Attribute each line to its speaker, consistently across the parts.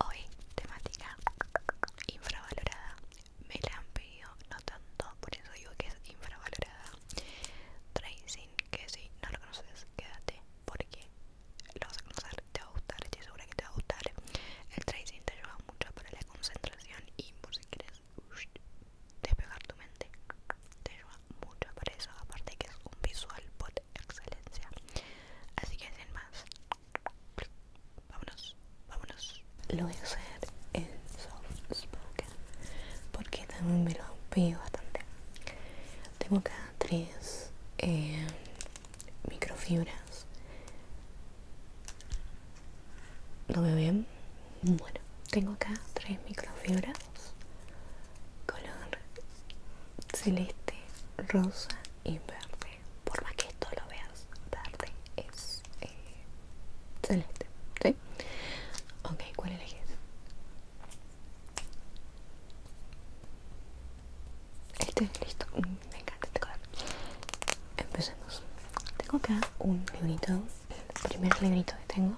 Speaker 1: hoy. temática infravalorada. Me la han pedido, no tanto, por eso digo que es infravalorada. Tracing, que si no lo conoces, quédate porque lo vas a conocer, te va a gustar, estoy segura que te va a gustar. El tracing te ayuda mucho para la concentración y por si quieres despegar tu mente, te ayuda mucho para eso. Aparte, que es un visual por excelencia. Así que sin más, Vámonos, vámonos. Lo voy a hacer en soft spoken porque también me lo pido bastante. Tengo acá tres eh, microfibras. ¿No veo bien? Bueno, tengo acá tres microfibras color celeste, rosa y verde. Por más que esto lo vea tarde es eh, celeste, ¿sí? Ok, ¿cuál elegís? Este, listo, mm, me encanta este color. Empecemos. Tengo acá un librito, el primer librito que tengo.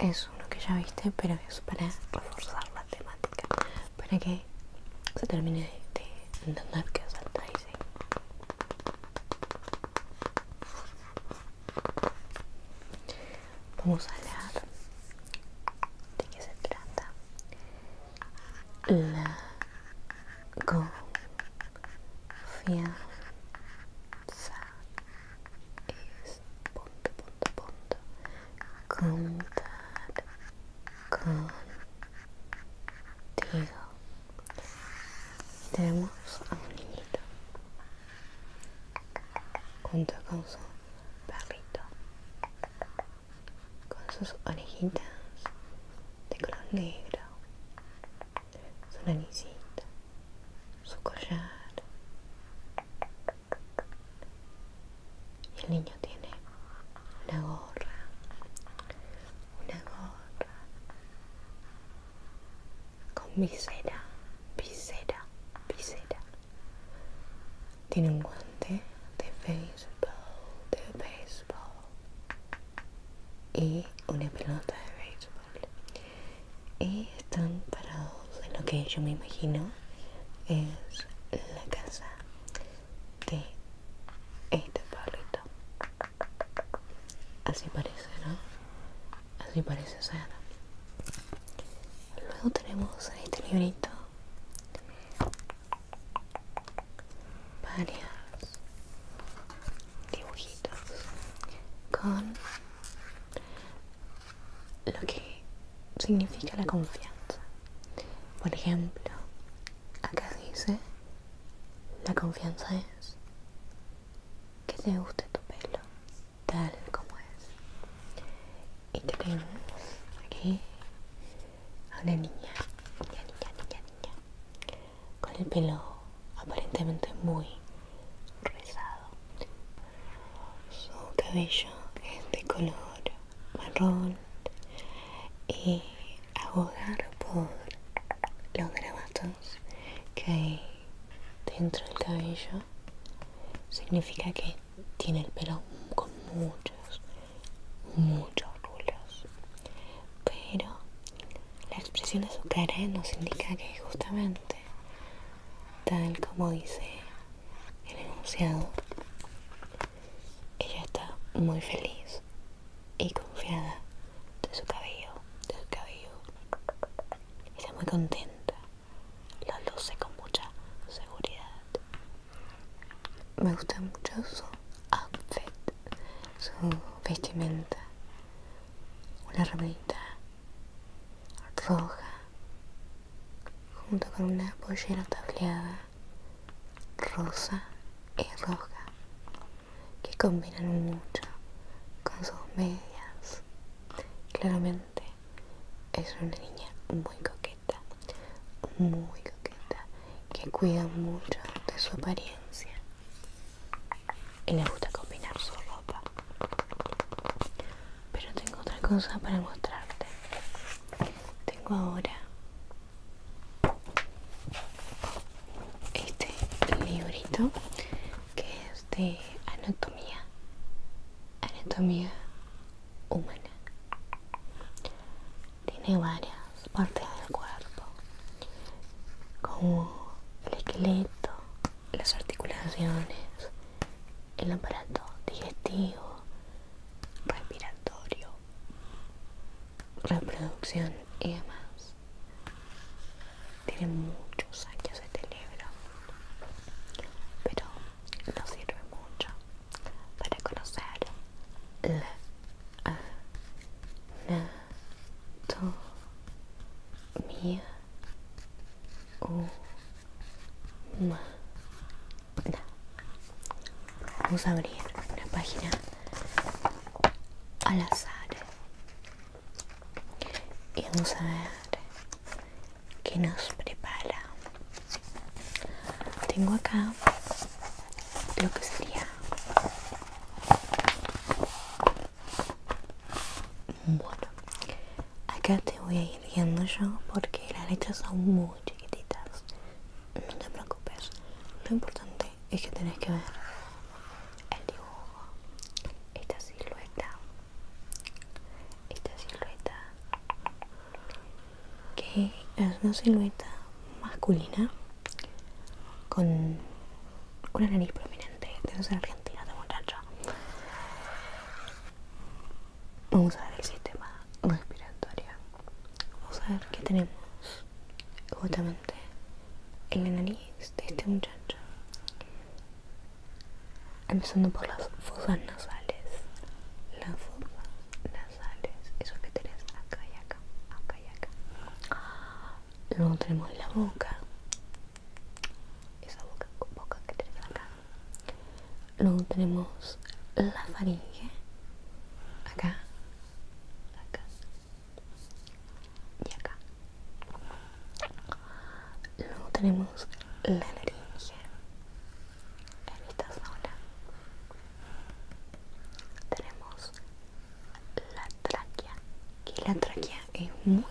Speaker 1: Es uno que ya viste, pero es para reforzar la temática para que se termine de, entender que es ¿eh? Vamos a hablar de qué se trata la confianza es punto punto punto contar con tenemos a un niñito junto con su perrito, con sus orejitas de color negro, su nariz, su collar, y el niño tiene una gorra, una gorra con visera, visera, visera. Tiene un guante de baseball de baseball y una pelota de béisbol. Y están parados en lo que yo me imagino es la casa de este perrito Así parece, ¿no? Así parece ser. Luego tenemos este librito varias dibujitos con lo que significa la confianza. Por ejemplo, acá dice, la confianza es que te guste tu pelo tal como es. Y tenemos aquí a una niña, niña, niña, niña, niña, con el pelo aparentemente muy rizado. Su cabello es de color marrón y abogar por los grabatos que hay dentro del cabello significa que tiene el pelo con muchos, muchos rulos. Pero la expresión de su cara nos indica que justamente, tal como dice el enunciado, ella está muy feliz y confiada de su cabello, de su cabello. Está muy contenta, lo luce con mucha seguridad. Me gusta mucho su outfit, su vestimenta, una ramita roja junto con una pollera tableada rosa y roja que combinan mucho con sus medias. Claramente es una niña muy coqueta, muy coqueta, que cuida mucho de su apariencia y le gusta combinar su ropa. Pero tengo otra cosa para mostrarte. Tengo ahora este librito que es de anatomía anatomía humana tiene varias partes del cuerpo como el esqueleto las articulaciones el aparato digestivo respiratorio reproducción y más Tiene muchos años este libro, pero no sirve mucho para conocer la anatomía humana. Vamos a abrir una página al azar y vamos a ver qué nos prepara. Tengo acá lo que sería bueno. Acá te voy a ir viendo yo porque las letras son muy chiquititas no te preocupes. Lo importante es que tenés que ver el dibujo, esta silueta, esta silueta que es una silueta masculina con una nariz prominente. tenemos argentina, de muchacho. Vamos a ver el sistema respiratorio. Vamos a ver qué tenemos justamente en la nariz de este muchacho. Empezando por las fosas nasales. Las fosas nasales, eso que tenés acá y acá, acá y acá. Luego tenemos la boca. Esa boca, boca que tenés acá luego tenemos la faringe acá acá y acá luego tenemos la laringe en esta zona tenemos la tráquea que la tráquea es muy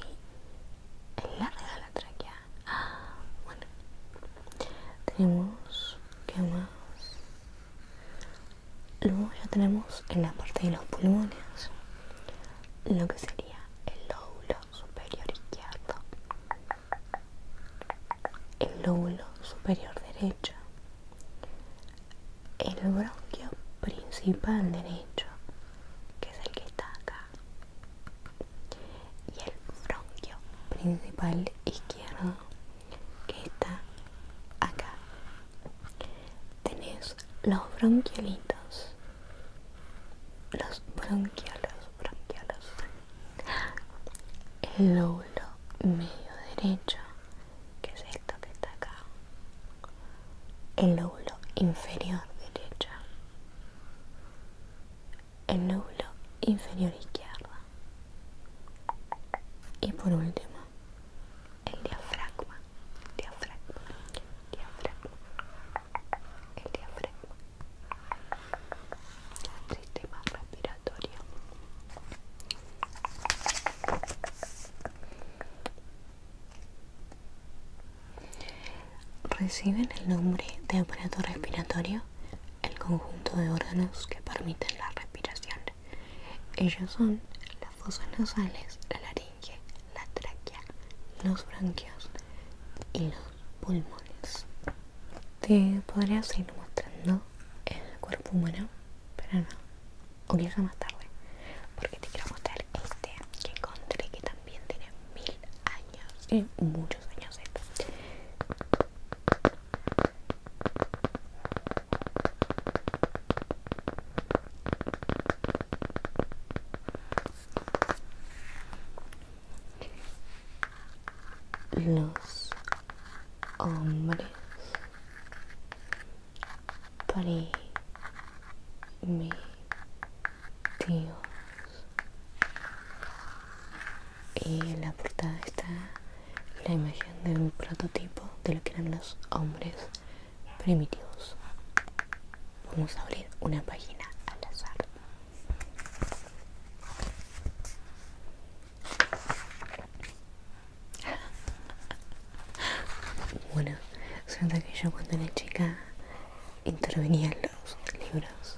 Speaker 1: larga la tráquea ah, bueno tenemos ¿qué más? luego ya tenemos en la parte de los pulmones lo que sería el lóbulo superior izquierdo el lóbulo superior derecho el bronquio principal derecho que es el que está acá y el bronquio principal izquierdo que está acá tenés los bronquiolitos los bronquiolos bronquiolos el lóbulo medio derecho que es esto que está acá el lóbulo inferior derecho el núcleo inferior izquierdo. Y por último, el diafragma. Diafragma. Diafragma. El diafragma. sistema respiratorio. Reciben el nombre de aparato respiratorio el conjunto de órganos que permiten la respiración. Ellos son las fosas nasales, la laringe, la tráquea, los bronquios y los pulmones. Te podría seguir mostrando el cuerpo humano, pero no, o quizá más tarde, porque te quiero mostrar este que encontré que también tiene mil años, y eh, muchos años los hombres primitivos y en la portada está la imagen de un prototipo de lo que eran los hombres primitivos. Vamos a abrir una página al azar. Bueno, siento que yo cuando era chica intervenía en los libros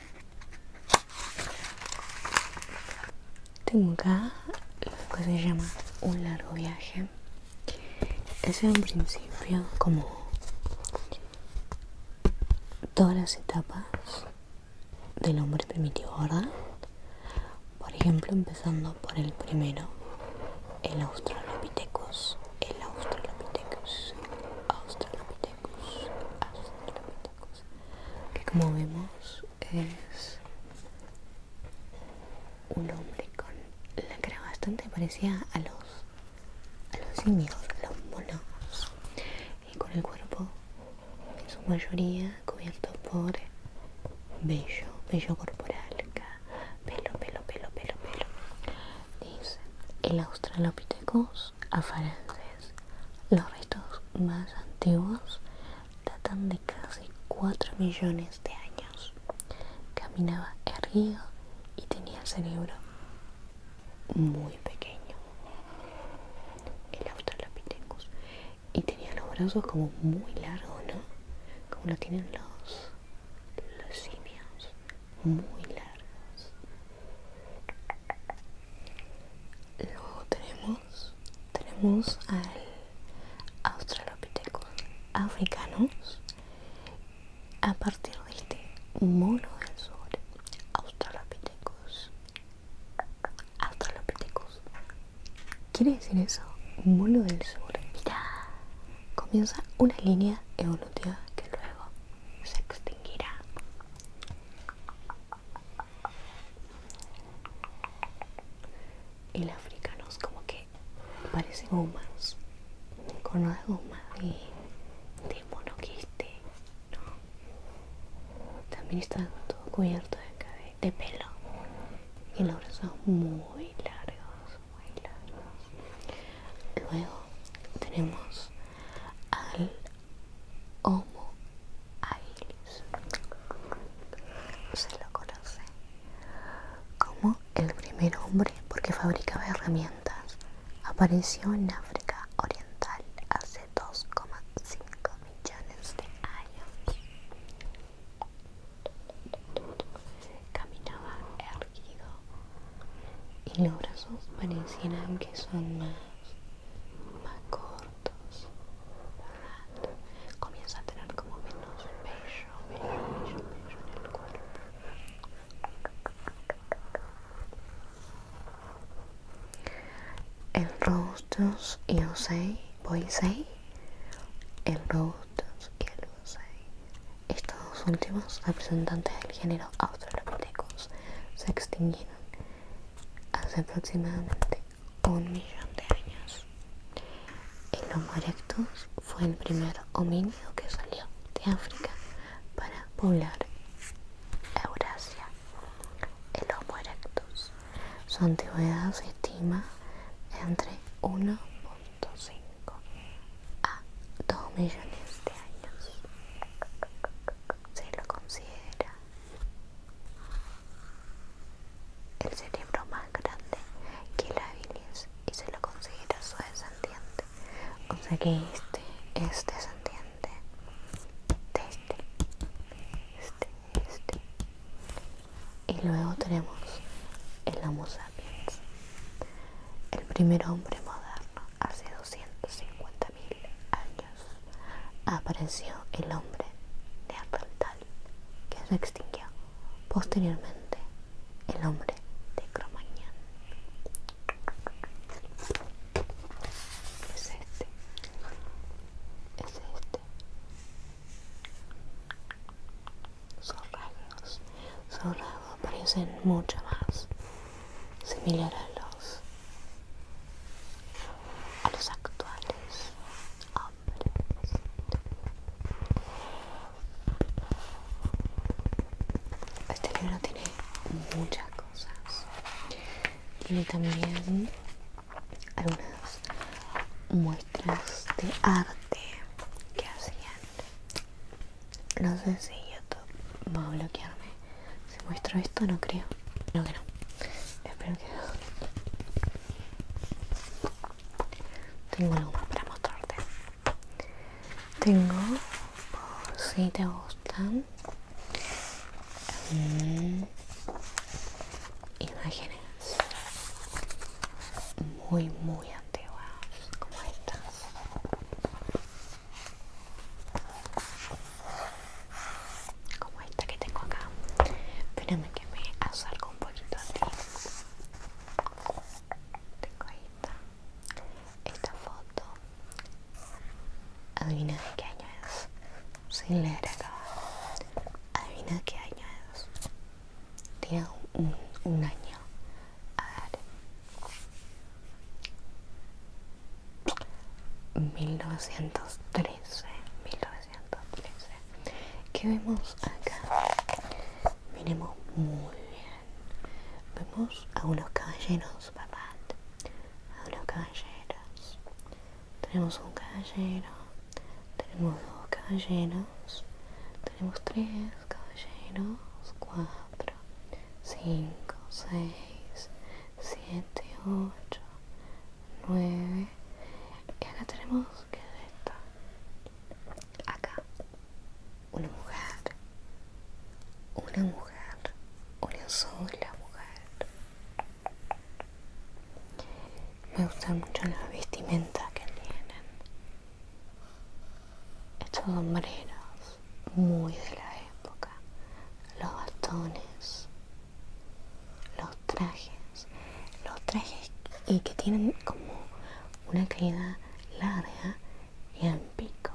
Speaker 1: Tengo acá lo que se llama un largo viaje. Es un principio como todas las etapas del hombre primitivo, ¿verdad? Por ejemplo, empezando por el primero, el Australopithecus, el Australopithecus, Australopithecus, Australopithecus que como vemos es un hombre con la cara bastante parecida a los a los los monos y con el cuerpo en su mayoría cubierto por vello, vello corporal pelo, pelo, pelo, pelo, pelo dice el australopithecus afarenses Los restos más antiguos datan de casi 4 millones de años. Caminaba erguido y tenía cerebro muy pequeño. El Australopithecus. Y tenía los brazos como muy largos, ¿no? Como lo tienen los, los simios. Muy largos. Luego tenemos, tenemos al Australopithecus africanos A partir de este mono del sur, Australopithecus. Australopithecus. ¿Quiere decir eso? Mono del sur. Mira, comienza una línea evolutiva que luego se extinguirá. Y los africanos como que parecen humanos, con una goma de, de monoquiste, ¿no? También está todo cubierto de, de, pelo y los brazos muy largos, muy largos. Luego tenemos al Homo habilis. Se lo conoce como el primer hombre porque fabricaba herramientas. Apareció en África Oriental hace 2,5 millones de años. Caminaba erguido y los brazos parecían que son más más cortos, Comienza a tener como menos bello, menos bello, en el cuerpo. El rostro y osei, boisei, el rostro y el osei. Estos últimos representantes del género Australopithecus se extinguieron hace aproximadamente un millón de años. El Homo erectus fue el primer homínido que salió de África para poblar Eurasia. El Homo erectus. Su antigüedad se estima entre 1.5 a 2 millones de años. Se lo considera el cerebro más grande que la bilis y se lo considera su descendiente. O que este es descendiente de este, este, este. Y luego tenemos el Homo sapiens, el primer hombre moderno hace 250 mil años apareció el hombre de neandertal que se extinguió posteriormente el hombre de Cromagnan Es este. Es este. Sus rasgos. parecen mucho más similares a los a los actuales hombres. Este libro tiene muchas cosas. Tiene también algunas muestras de arte que hacían. No sé si YouTube va a bloquearme ¿Se muestra esto? No creo. no que no. Espero que Tengo algo más para mostrarte. Tengo, por si te gustan, mm. imágenes muy, muy antiguas como estas como esta que tengo acá espérame que me acerco un poquito a tengo esta esta foto adivina de qué año es sin leer acá adivina qué año es tiene un, un año a ver 1913, 1913. ¿Qué vemos acá? Miremos muy bien. Vemos a unos caballeros, papá. A unos caballeros. Tenemos un caballero. Tenemos dos caballeros. Tenemos tres caballeros. Cuatro, cinco, seis, siete, ocho. 9 y acá tenemos que de esta acá una mujer una mujer una sola mujer me gustan mucho las vestimenta que tienen estos sombreros muy de la época los bastones los trajes los trajes y que tienen como una caída larga y en pico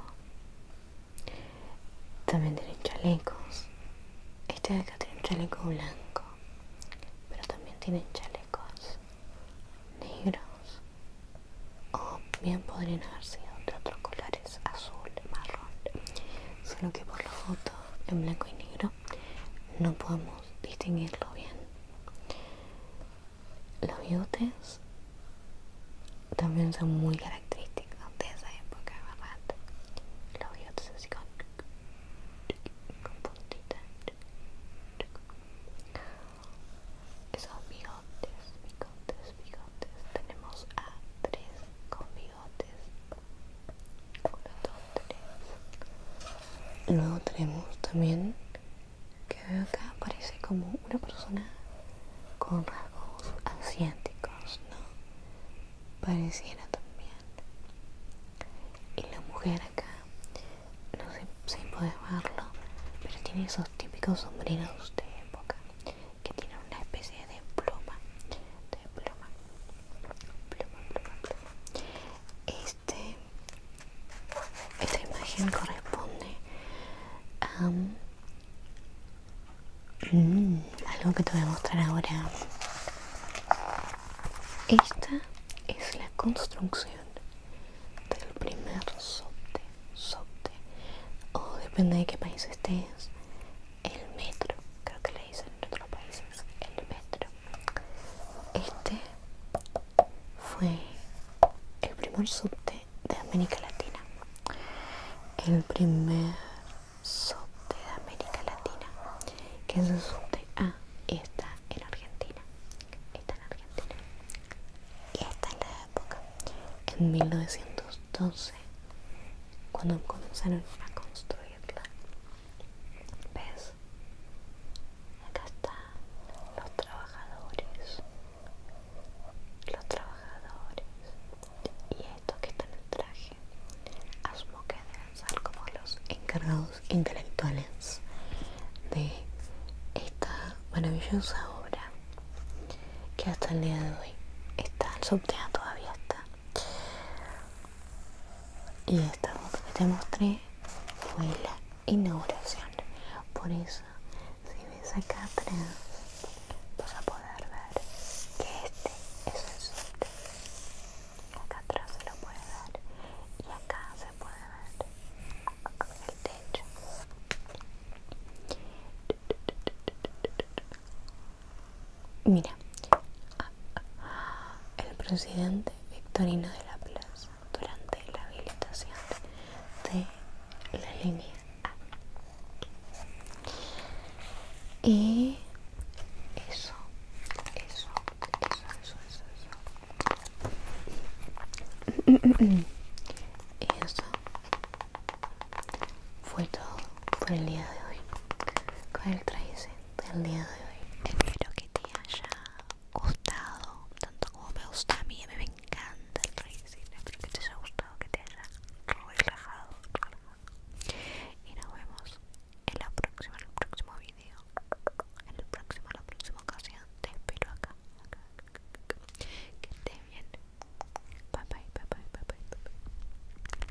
Speaker 1: también tienen chalecos este de acá tiene un chaleco blanco pero también tienen chalecos negros o bien podrían haber sido de otros colores azul marrón solo que por la fotos en blanco y negro no podemos distinguirlo bien. Los bigotes también son muy característicos de esa época, ¿verdad? Los bigotes así con, con puntita. Esos bigotes, bigotes, bigotes. Tenemos a tres con bigotes. Luego tenemos también que veo acá parece como una persona con rasgos asiáticos, ¿no? Pareciera también. Y la mujer acá, no sé si puedes verlo, pero tiene esos típicos sombreros de época que tiene una especie de pluma, de pluma este, esta imagen corresponde a mm, algo que te voy a mostrar ahora. Esta es la construcción del primer o depende de qué país estés, el metro, creo que le dicen en otros países el metro. Este fue el primer subte de América Latina. El primer subte de América Latina, que es el subte A, y está en Argentina. Está en Argentina. Y esta en la época, en 1912, cuando comenzaron a construir ¿Ves? Acá están los trabajadores. Los trabajadores. Y estos que están en el traje. Asumo que deben ser como los encargados intelectuales de esta maravillosa obra que hasta el día de hoy está en subtea todavía está y esta foto que te mostré fue la inauguración por eso si ves acá atrás vas a poder ver que este es el subte acá atrás se lo puede ver y acá se puede ver el techo Mira, el presidente Victorino de la Plaza durante la habilitación de la línea Y eso, eso, eso, eso, eso, eso. Y eso fue todo por el día de hoy con el traicen del día de hoy. Espero que te haya gustado tanto como me gusta a mí. A mí me encanta el racing. Espero que te haya gustado, que te haya relajado, Y nos vemos en la próxima, en el próximo video. En el próximo, la próxima ocasión. Te espero acá. acá, Que estés bien. bye bye, bye bye. bye, bye.